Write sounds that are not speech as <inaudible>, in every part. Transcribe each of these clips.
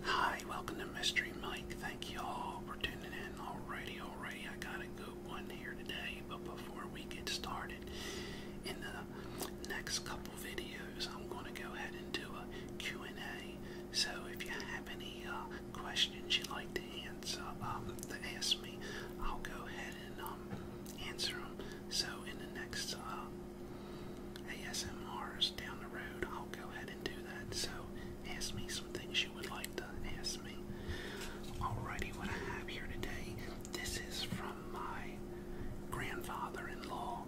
Hi, welcome to Mystery Mike. Thank you all for tuning in. Alrighty, alrighty, I got a good one here today. But before we get started, in the next couple videos, I'm going to go ahead and do a Q&A. So if you have any uh, questions you'd like to answer, um, to ask me, I'll go ahead and um, answer them. So in the next uh, ASMRs down the road, I'll go ahead and do that. So ask me some things you would like to ask me. Alrighty, what I have here today, this is from my grandfather-in-law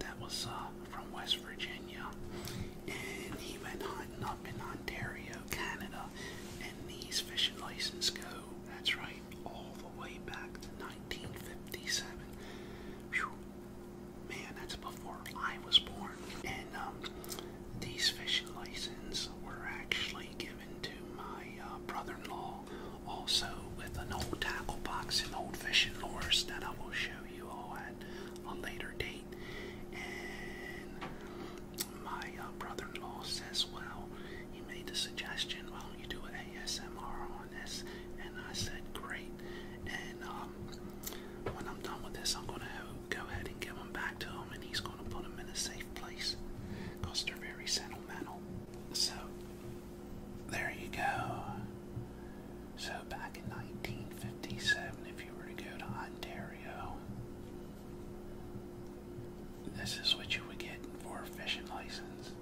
that was uh, from West Virginia. And he went hunting up in Ontario, Canada, and these fishing licenses go, that's right, all the way back to 1957. Whew, man, that's before I was born. And um, these fishing licenses were actually given to my uh, brother-in-law, also with an old tackle box and old fishing lures that I will show you all at a later date. And my uh, brother-in-law says, well, he made the suggestion, why don't you do an ASMR on on this and I said great and um, when I'm done with this I'm gonna go ahead and give them back to him and he's gonna put them in a safe place because they're very sentimental so there you go so back in 1957 if you were to go to Ontario this is what you would get for a fishing license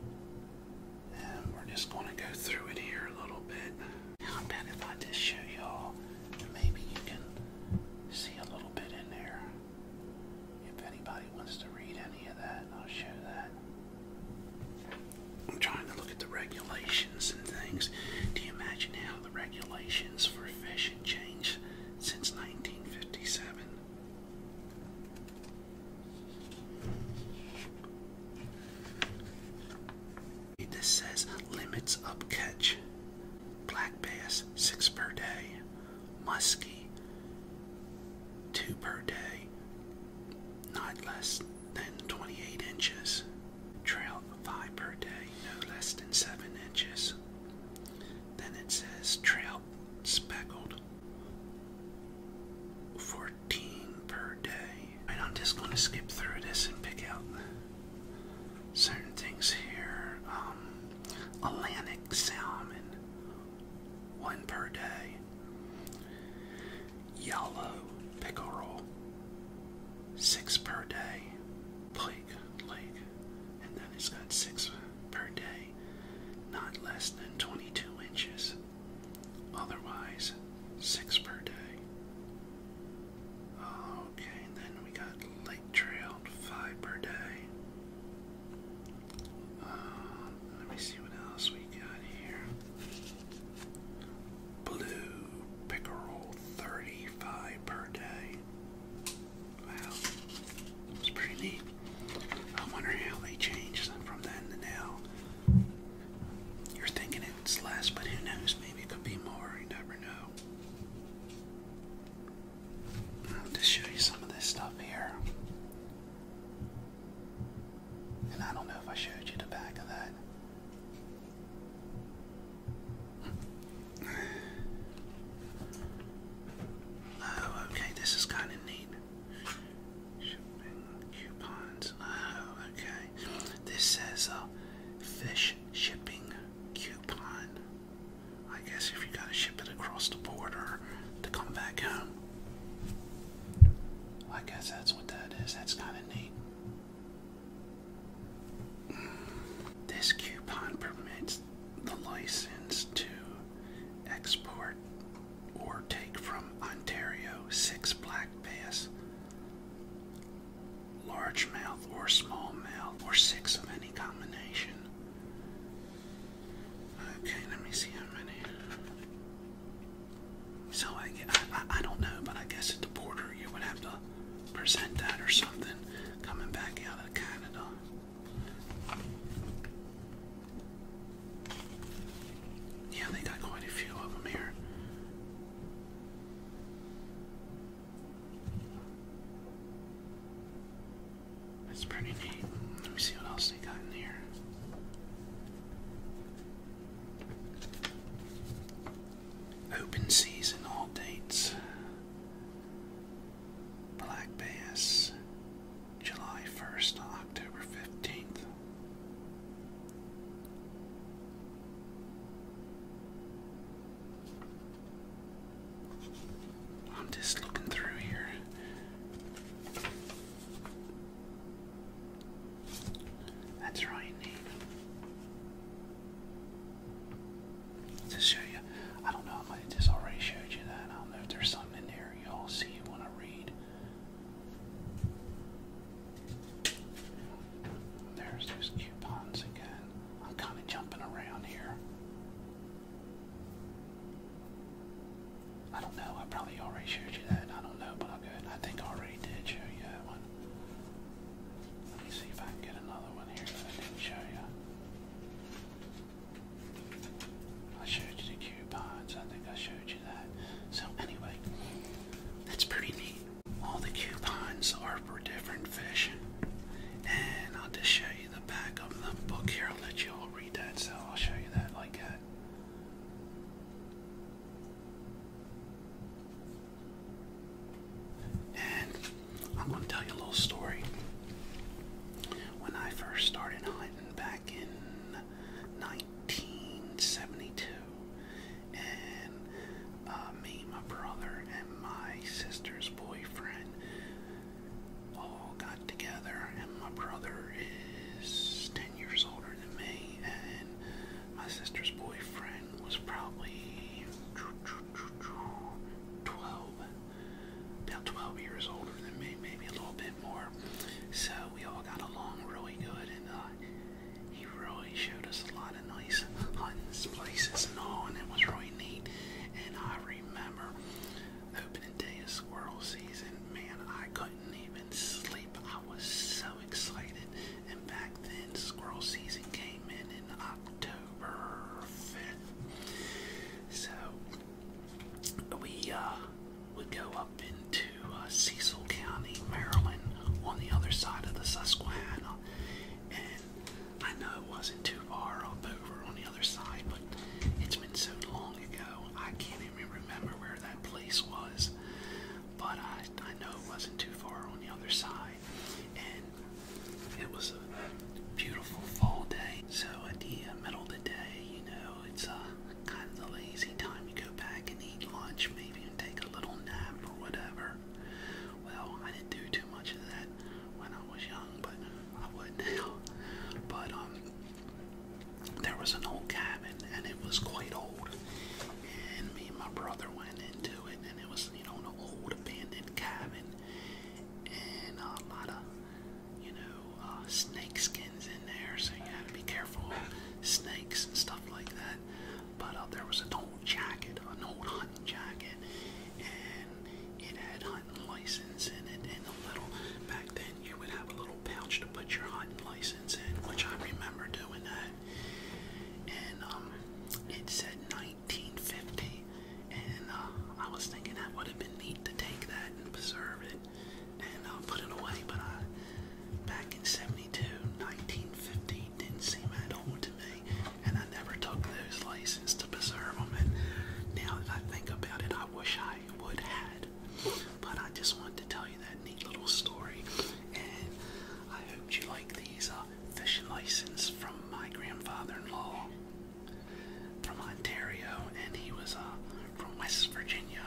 and we're just going to go through it here a little bit. How about if I just show y'all, maybe you can see a little bit in there. If anybody wants to read any of that, I'll show that. I'm trying to look at the regulations and things. Do you imagine how the regulations for fishing changed since 1957? This says limits up catch. Black bass, six per day. Muskie, two per day. Not less than 28 inches. trout five per day. No less than seven inches. Then it says trout speckled, 14 13 per day. And I'm just going to skip through this and pick out certain things here. Um, Atlantic salmon, one per day. Yellow pickle roll, six per day. Plague lake, and then it's got six per day, not less than 22 inches. Otherwise, six per day. Okay, and then we got Lake Trail, five per day. Uh, let me see what else we got here. Blue Pickerel, 35 per day. Wow, that's pretty neat. I wonder how they changed them from then to now. You're thinking it's less, but who knows? Maybe it could be more. You never know. i show you some of this stuff here. And I don't know if I showed you the back of that. Oh, okay, this is kind of neat. Shipping coupons. Oh, okay. This says a uh, fish shipping coupon. I guess if you gotta ship it across the border to come back home. I guess that's what that is. That's kind of neat. This coupon permits the license to export or take from Ontario six black bass, large mouth or small mouth, or six of any combination. Okay, let me see how many. So I, I, I don't know, but I guess at the border you would have to present that or something coming back out of Canada. Yeah, they got quite a few of them here. That's pretty neat. Let me see what else they got in here. Open season, all dates. Black bass, July 1st to October 15th. I'm just looking through here. That's right, To show you, I don't know, I just already showed you that. I don't know if there's something in there you'll see you want to read. There's those coupons again. I'm kind of jumping around here. I don't know. I probably already showed you that. I don't know, but I'll go I think I already did show you that one. Let me see if I can get another one here that I didn't show you. I showed you the coupons. I think I showed you that. So anyway, that's pretty neat. All the coupons are for different fish. And I'll just show you the back of the book here. I'll let you all read that, so I'll show you that like that. And I'm going to tell you a little story. When I first started hunting back back in 1972, and uh, me, my brother, and my sister's boyfriend all got together. And my brother is 10 years older than me, and my sister's boyfriend was probably 12, about 12 years older than me, maybe a little bit bit more. So we all got along really good, and uh, he really showed us a lot of nice hunts, places, and all, and it was really neat. And I remember opening day of squirrel season, man, I couldn't even sleep. I was so excited, and back then squirrel season came in in October 5th. So we uh would go up into uh, Cecil County, Maryland, on the other side of the Susquehanna. And I know it wasn't too far up over on the other side, but it's been so long ago, I can't even remember where that place was. But I, I know it wasn't too far on the other side. And it was a beautiful fall day. So at the middle of the day, you know, it's a uh, kind of the lazy time you go back and eat lunch, maybe even take a little nap or whatever. Well, I didn't do too much of that when I was young, but I would <laughs> now. But um, there was an old cabin, and it was quite old. And me and my brother went into it, and it was you know an old abandoned cabin, and a lot of you know uh, snake skins in there, so you had to be careful snakes and stuff like that. But uh, there was an old jacket, an old hunting jacket, and it had hunting license in it. And a little back then, you would have a little pouch to put your hunting license in, which I remember doing that. And um, it said 1950, and uh, I was thinking that would have been neat to take that and preserve it and I'll put it away, but I, back in 72, 1950, didn't seem at all to me, and I never took those license to preserve them, and now that I think about it, I wish I would had, but I just wanted to tell you that neat little story, and I hope you like these uh, fishing license from my grandfather-in-law from Ontario, and he was a uh, from West Virginia.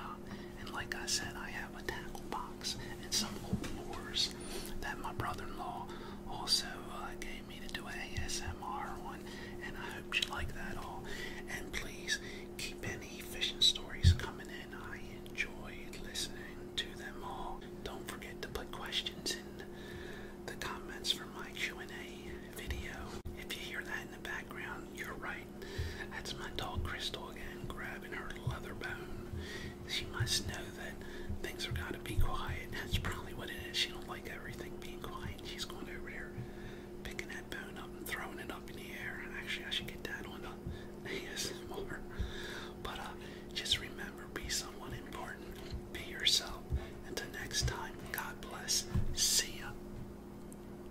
And like I said, I have a tackle box and some old lures that my brother-in-law also uh, gave me to do an ASMR one. And I hope you like that all. And please keep any fishing stories coming in. I enjoy listening to them all. Don't forget to put questions in the comments for my Q&A video. If you hear that in the background, you're right. That's my dog Crystal again, grabbing her leather bone. She must know that things are gotta be quiet. That's probably what it is. She don't like everything being quiet. She's going over there, picking that bone up and throwing it up in the air. Actually, I should get that on the ASMR. <laughs> But uh, just remember, be someone important. Be yourself. Until next time, God bless. See ya.